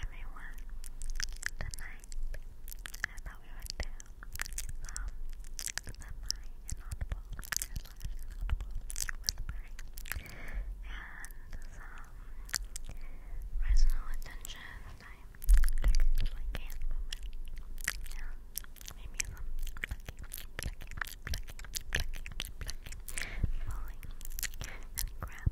everyone. Tonight I thought we would do some semi-inaudible slash inaudible whispering and some personal attention time triggers like hand movement and maybe pulling and grabbing.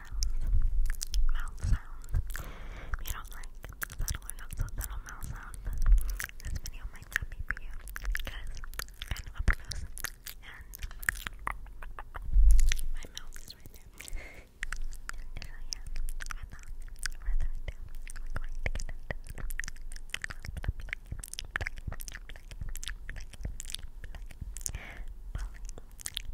sounds, mouth sounds. you do like subtle or not so subtle mouth sounds, this video might not be for you because kind of up close my mouth is right there. so yeah, without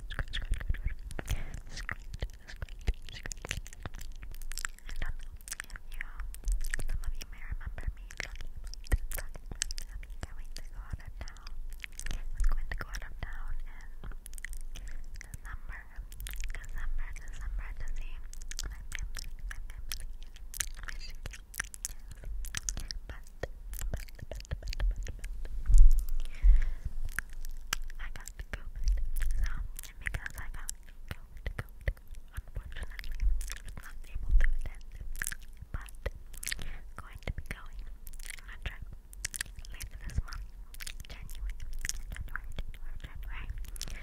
scratch, scratch, scratch, scratch. I don't know if you, remember me I'm going to go out of town. I'm going to go out of town in December, December, December to see but, I got COVID, so, and because I got COVID, COVID, unfortunately, I'm not able to but going to be going on a trip later this month, January, January, January, January,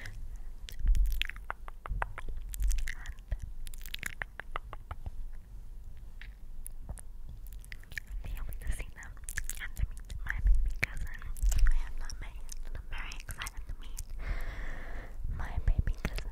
able to see them and to meet my baby cousin. I am not married, I'm very excited to meet my baby cousin,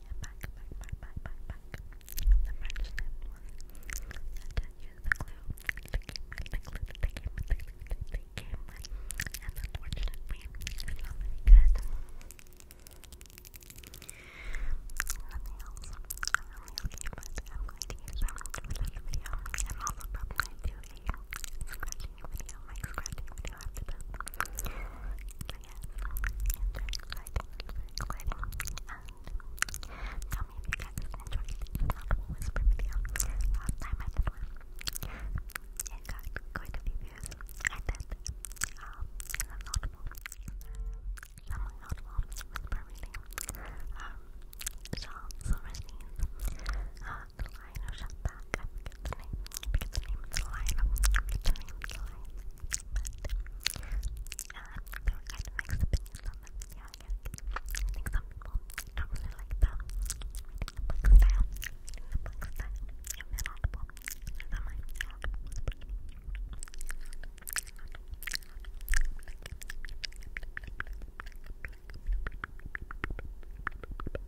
yeah, back, back, back, back, back, back. The French name was to use the glue. They came, the glue, they came, they came, they came, and unfortunately, it's not very good. Nothing else. I'm really okay, but I'm going to use them for this video. I'm also probably going to do a scratching video, like scratching video after this whisper video. Last time I did one, it got quite a few views. I did um, an audible, an audible whisper reading. Um, Charles Silverstein's uh, The Lion Who Shut Back forget the name, it's a lion, forget the name, it's a lion, but, uh, there kind of mixed opinions yeah, I guess, I really like the reading the book style, reading the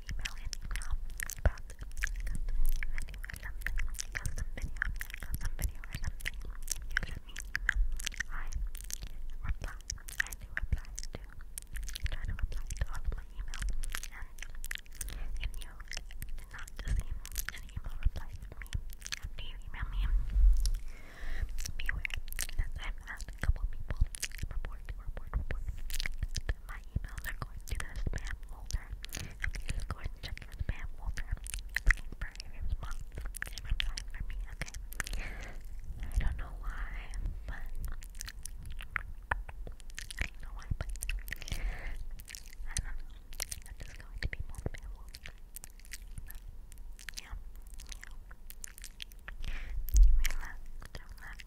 email email about the custom video or something, custom video, custom video or you let me email. reply. I do reply to try to reply to all of my emails. And you did not receive an email reply from me after you email me, beware that i a couple people report, report, report. That my emails are going to the spam folder. Okay, let's go ahead and spam folder. Looking for a response. A reply for me, okay? I don't know why, but I don't know why, but I don't know. I'm just going to be more spam Yeah, yeah. relax, relax.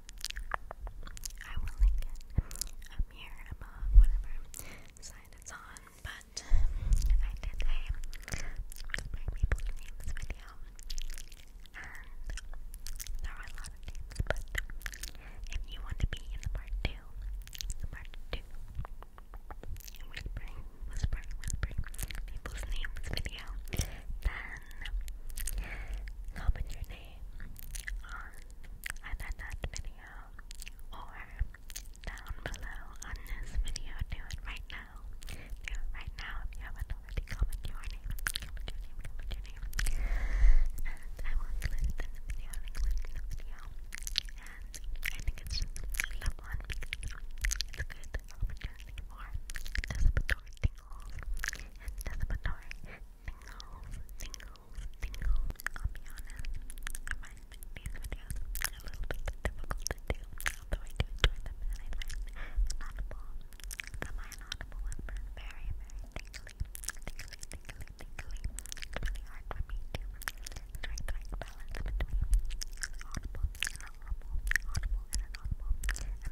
I will link it up here above whatever side it's on, but I did a whispering people's names video and there were a lot of names, but if you want to be in the part two, part two whispering, whispering, whispering people's names video, then comment your name on either that video or down below on this video. Do it right now. Do it right now if you haven't already. Comment your name. Comment your name. Comment your name. And I will include it in the video. i in the video. And I think it's just a love one because it's a good opportunity for participatory thinking and anticipatory tingles, tingles, I'll be honest, I find these videos a little bit difficult to do, although I do enjoy them and I find inaudible, the my inaudible whisper very, very tingly, tingly, tingly, tingly. It's really hard for me to try to balance between audible and audible, and inaudible. I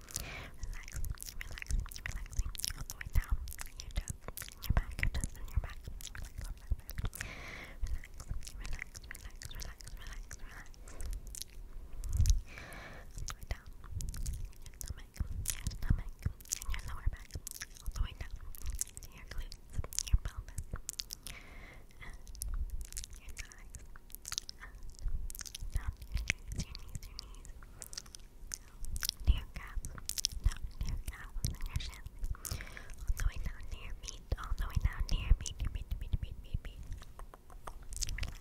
relax, relaxing all the way down your chest, your back, your chest, and your back. Relax, relax, relax, relax, relax, relax, All the way down your stomach, your stomach, and your lower back. All the way down your glutes, your pelvis, your thighs down your knees, your knees, your knees, to your calves, down to your calves all the way down to your all the way down to your feet, your feet, feet, feet, feet,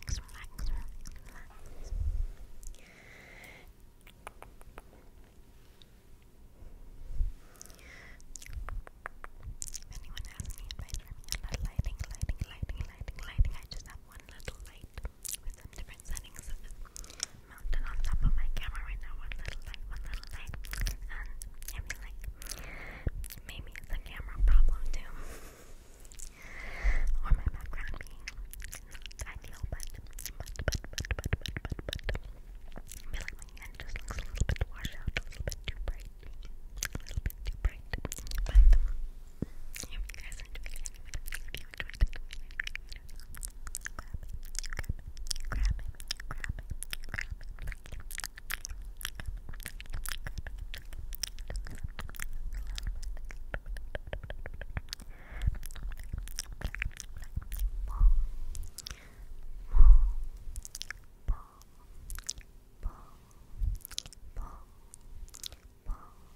Relax, relax, relax, relax. If anyone has me about lighting, lighting, lighting, lighting, lighting, I just have one little light with some different settings mounted on top of my camera right now. One little light, one little light. And I like, maybe it's a camera problem too. or my background being not ideal, but, but, but, but, but, but, but, but. I feel like my hand just looks a little bit washed out, a little bit too bright. A little bit too bright. But, I hope you guys enjoyed it. If you enjoyed it, grab it, grab it, grab it, grab it, grab it, grab it, Ball, ball, ball, ball, ball,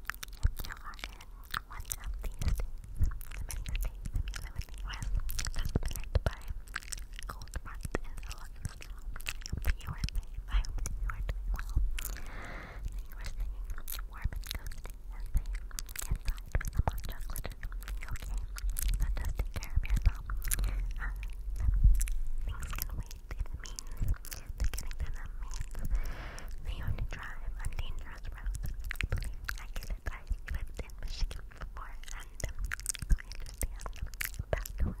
you are in one of the many states if you by cold front and a lot of snow. I hope I hope you are doing well. you are staying warm and cozy and safe inside with some hot okay. So just take care of yourself. Uh, things can wait means to getting to them means that you drive on dangerous roads. I get it. I lived in before and um, I understand the roads. Relax,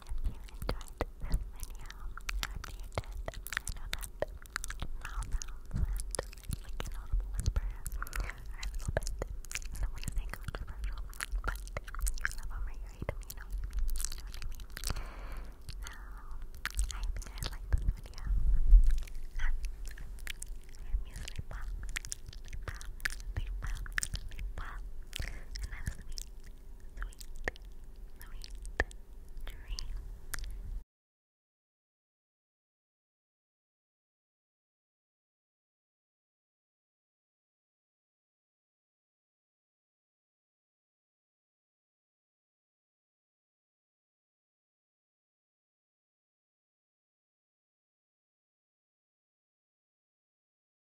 you enjoyed this video, after you did, I know that mouth sounds and like an audible whisper are a little bit, I don't want to say controversial, but you love them or you hate them, you know, you know what I mean? So, I hope you guys liked this video. Um, I'm usually pop, pop, pop, pop, and I was me sweet, sweet dream.